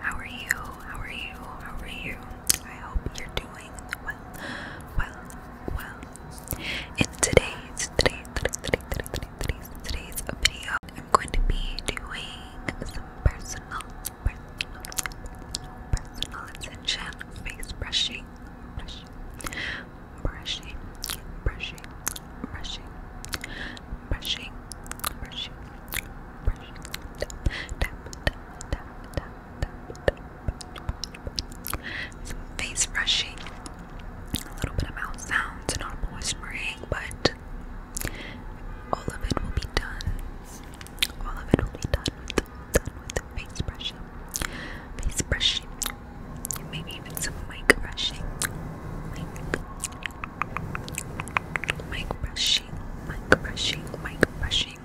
How are you? How are you? How are you? I hope you're doing well, well, well. In today's, today's, today's, today's, today's, today's video, I'm going to be doing some personal, personal, personal attention face brushing, brushing, brushing, brushing, brushing, brushing, brushing, some face brushing, a little bit of mouth sounds and whispering, but all of it will be done. All of it will be done with, done face brushing, face brushing, maybe even some mic brushing, mic brushing, mic brushing, mic brushing.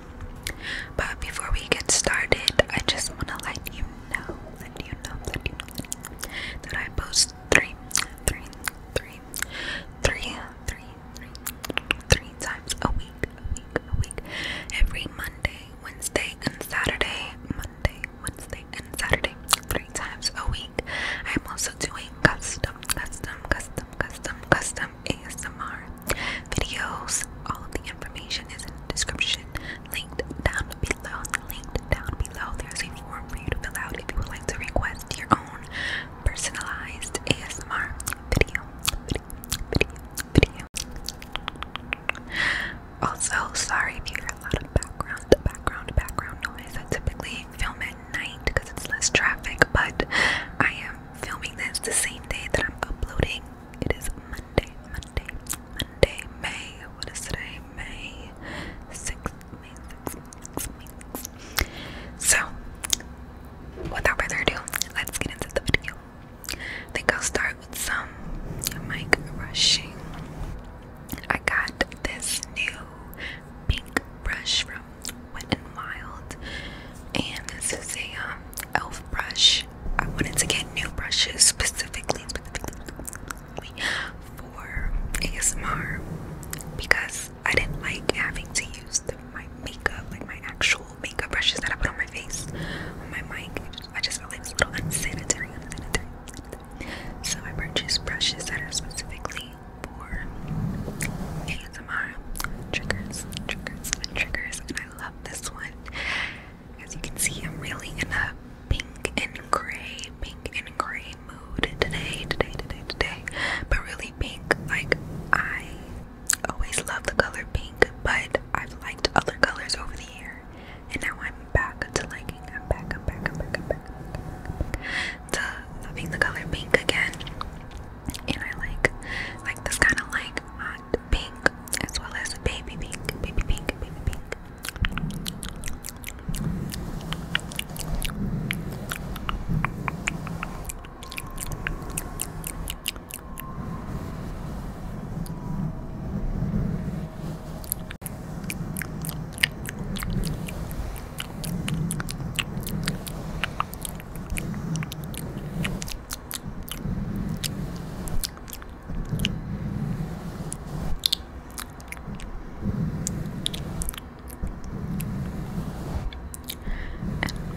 But before we get started, I just want to let you know, let you know, let you know that I post three, three, three, three, three, three, three times a week, a week, a week, every Monday, Wednesday, and Saturday. Monday, Wednesday, and Saturday three times a week. I'm also doing custom, custom, custom, custom, custom ASMR videos. All of the information is in the description, linked down below. Linked down below. There's a form for you to fill out if you would like to request your own personalized ASMR video. Video, video, video. Also, sorry if you hear a lot of background, background, background noise. I typically film it night because it's less traffic, but I am filming this the same day that I'm uploading. It is Monday, Monday, Monday, May. What is today? May 6th, May 6th, May 6th. So, without further ado, let's get into the video. I think I'll start with some mic rushing. I got this new pink brush from Wet n Wild, and this is a um, elf brush. I wanted to get new brushes specifically, specifically for ASMR because I didn't like having to use my makeup, like my actual makeup brushes that I put on my face, on my mic. I just, felt like it was a little unsanitary, unsanitary. So I purchased brushes that are specifically for ASMR triggers, triggers, triggers, and I love this one. As you can see, I'm really in a pink and gray, pink and gray mood today, today, today, today. But really pink, like I always love the color pink, but I've liked other colors over the year, and now I'm back to like shaking. I'm back, I'm back, I'm back, I'm back, I'm back. To loving the color pink again. And I like like this kind of like hot pink as well as baby pink, baby pink, baby pink and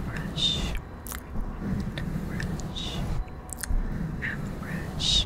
brush and brush and brush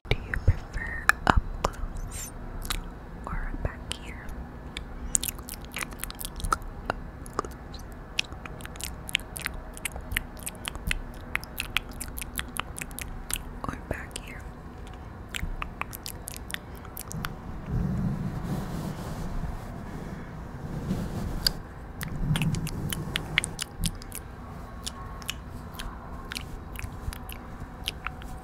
do you prefer up close or back here? Up close. Or back here.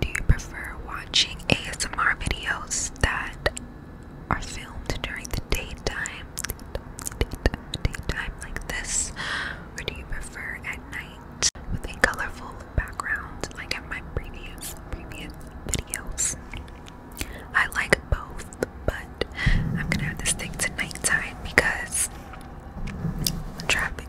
Do you prefer watching ASMR videos that are filmed during the daytime, daytime, like this, or do you prefer at night with a colorful background like in my previous previous videos? I like both, but I'm gonna have this thing to nighttime because traffic.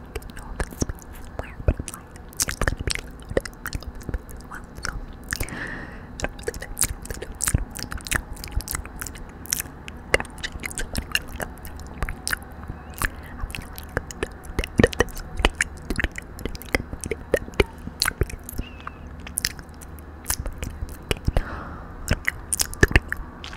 I don't know if it's being somewhere, but I'm like, it's gonna be loud in that open space as well, so I don't really know, I don't really know, I don't really know, I don't really know, I don't really know. God, I knew somebody would look up there for you. I'm gonna like, download this audio studio just like I might end up doing, because I'm like, an audio studio.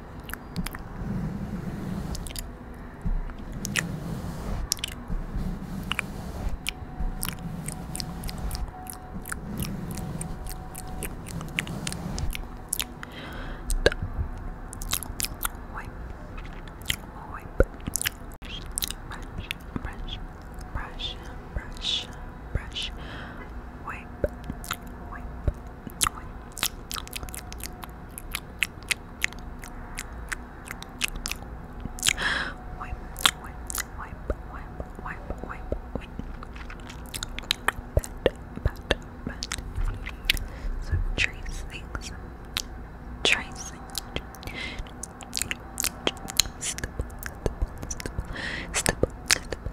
Wipe, wipe, brush, brush, brush, brush, brush, wipe, wipe, Wipe, wipe, wipe, wipe, wipe, wipe, wipe. Bend, bend, bend. So tracing, tracing. Stipple, stipple, stipple, stipple,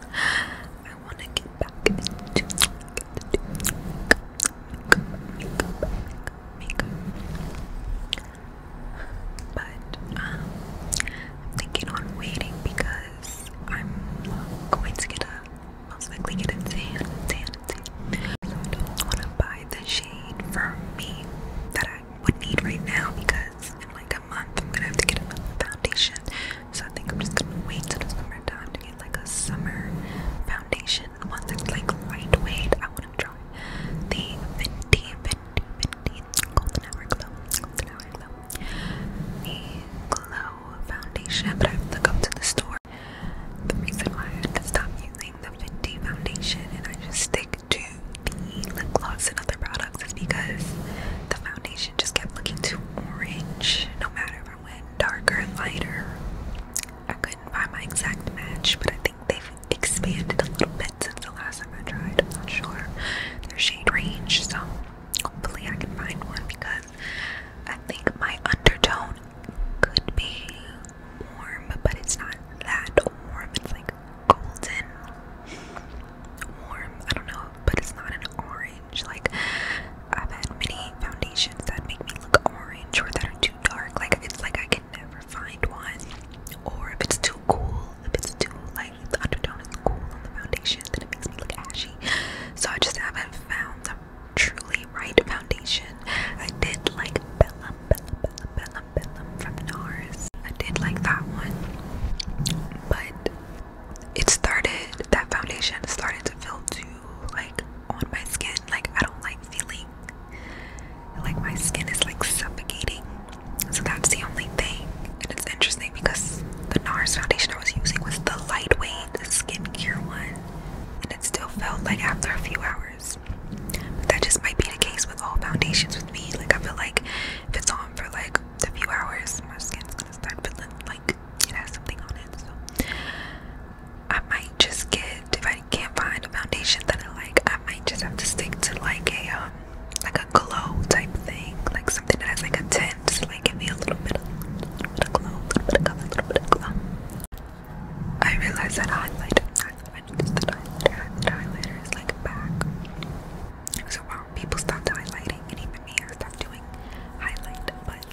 I want to get back into makeup, makeup, makeup, makeup. But um, I'm thinking on waiting because I'm going to get a most likely get a tan, tan, tan. So I don't want to buy the shade for me that I I would need right now because in like a month I'm gonna have to get another foundation. So I think I'm just gonna wait till the summertime to get like a summer foundation. One that's like lightweight. I wanna try the Fenty, Fenty, Fenty Golden Hour Glow, Golden Hour Glow, the Glow Foundation, but I have to go to the store. The reason why I had to stop using the Fenty foundation and I just stick to the lip gloss and other products is because the foundation just kept looking too orange no matter if I went darker and lighter. I couldn't find my exact match, but I think they've expanded a little bit since the last time I tried. I'm not sure their shade range, so hopefully I can find one because I think my undertone could be warm, but it's not that warm. It's like golden warm. I don't know, but it's not an orange. Like I've had many foundations that make me look orange or that are too dark. Like it's like I can never find one. Or if it's too cool, if it's too like the undertone is cool on the foundation, then it makes me look ashy. So I just haven't found the truly right foundation. I did like Bella Bella Bella from NARS. I did like that one, but it started, that foundation started to feel too, like, on my skin. Like, I don't like feeling like my skin is like suffocating. So that's the only thing. And it's interesting because the NARS foundation I was using was the lightweight skincare one. And it still felt like after a few hours. that just might be the case with all foundations with me. Like I feel like if it's on for like a few hours, my skin's gonna start feeling like it has something on it. So I might just get if I can't find a foundation that I like, I might just have to stick to like a um like a glow type thing, like something that has like a tint, so like give me a little bit of, little bit of glow, a little bit of color, a little bit of glow. I realize that highlight, highlight, the highlighter, is like back. So wow, people stopped highlighting, and even me, I stopped doing highlight. But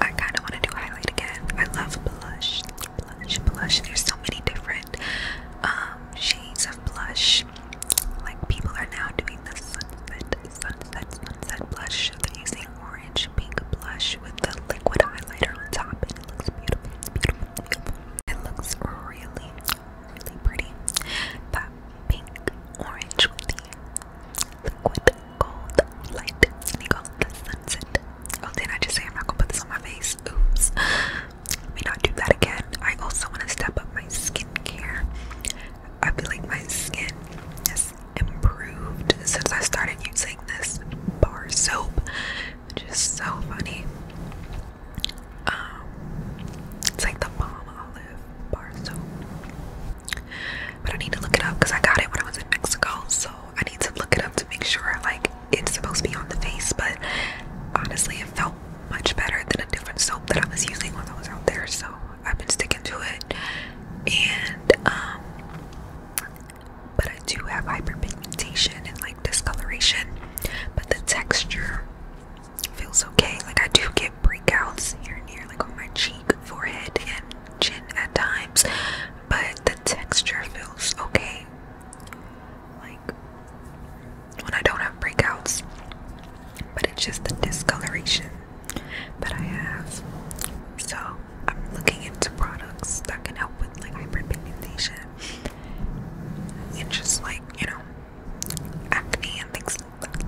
I kind of want to do highlight again. I love blush, blush, blush. There's so many different um, shades of blush. Like people are now doing the sunset, sunset, sunset blush. They're using orange, pink blush with the liquid highlighter on top, and it looks beautiful. It's beautiful. It looks really, really pretty. That pink orange the liquid gold light, and he the sunset. Oh, did I just say I'm not gonna put this on my face? Oops. Let me not do that again. I also want to step up my skincare. I feel like my skin has improved since I started using this bar soap, which is so funny. Um, it's like the palm olive bar soap, but I need to look it up because I got it when I was in Mexico. So I need to look it up to make sure like it's supposed to be on the face. But honestly, it felt much better than a different soap that I was using when I was out there. So I've been sticking to it, and um, but I do have hyperpigmentation and like discoloration but the texture feels okay. Like I do get breakouts here and here, like on my cheek, forehead, and chin at times, but the texture feels okay. Like when I don't have breakouts, but it's just the discoloration that I have. So I'm looking into products that can help with like hyperpigmentation and just like, you know, acne and things I'm gonna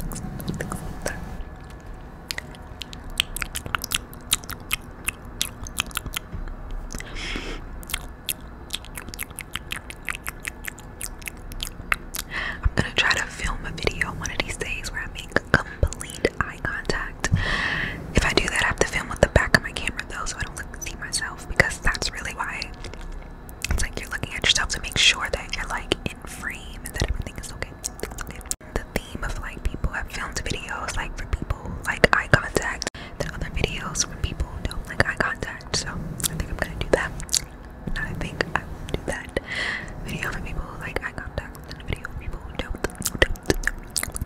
try to film a video one of these days where I make complete eye contact. If I do that, I have to film with the back of my camera though, so I don't see myself because that's really why it's like you're looking at yourself to make sure that you're like in frame and that everything is okay. The theme of like people have filmed videos like for people like eye contact, then other videos for people don't like eye contact. So I think I'm gonna do that. I think I will do that video for people like eye contact, and video for people who don't.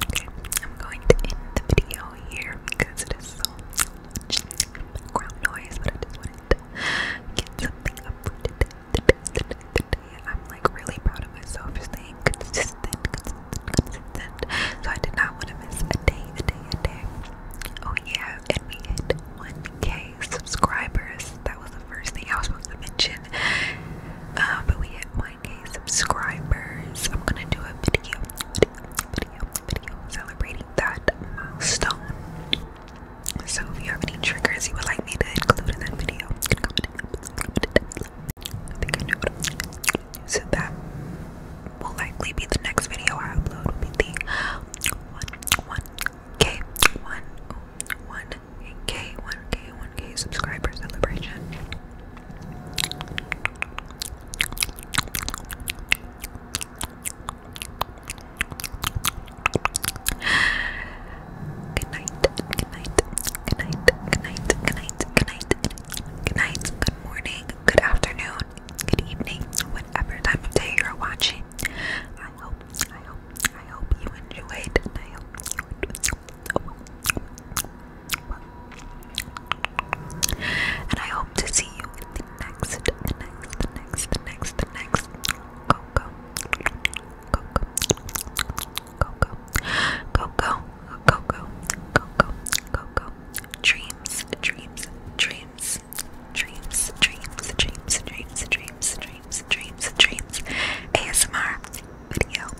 Okay, I'm going to end the video here because it is background noise, but I just wanted to get something up today. I'm like really proud of myself for staying So I did not want to miss a day, a day, a day. Oh yeah, and we hit 1k subscribers. That was the first thing I was supposed to mention. Uh, but we hit 1 9k subscribers. I'm gonna do a video, video, video, video celebrating that milestone. So if you have any triggers you would like me to include in that video, I think I know what I'm gonna do. So that will likely be the next video I upload will be the one one K one K one K one K subscriber celebration. Good night, good night, good night, good night, good night, good night, good night, good morning, good afternoon, good evening, whatever time of day you're watching. I hope, I hope, I hope you enjoyed. And I hope to see you in the next, the next, the next, the next, the next. Go, go. Go, go. Go, go. Go, go. Go, go. Go, go. Go, go. Dreams, dreams, dreams. Dreams, dreams, dreams, dreams, dreams, dreams, dreams, dreams. ASMR video.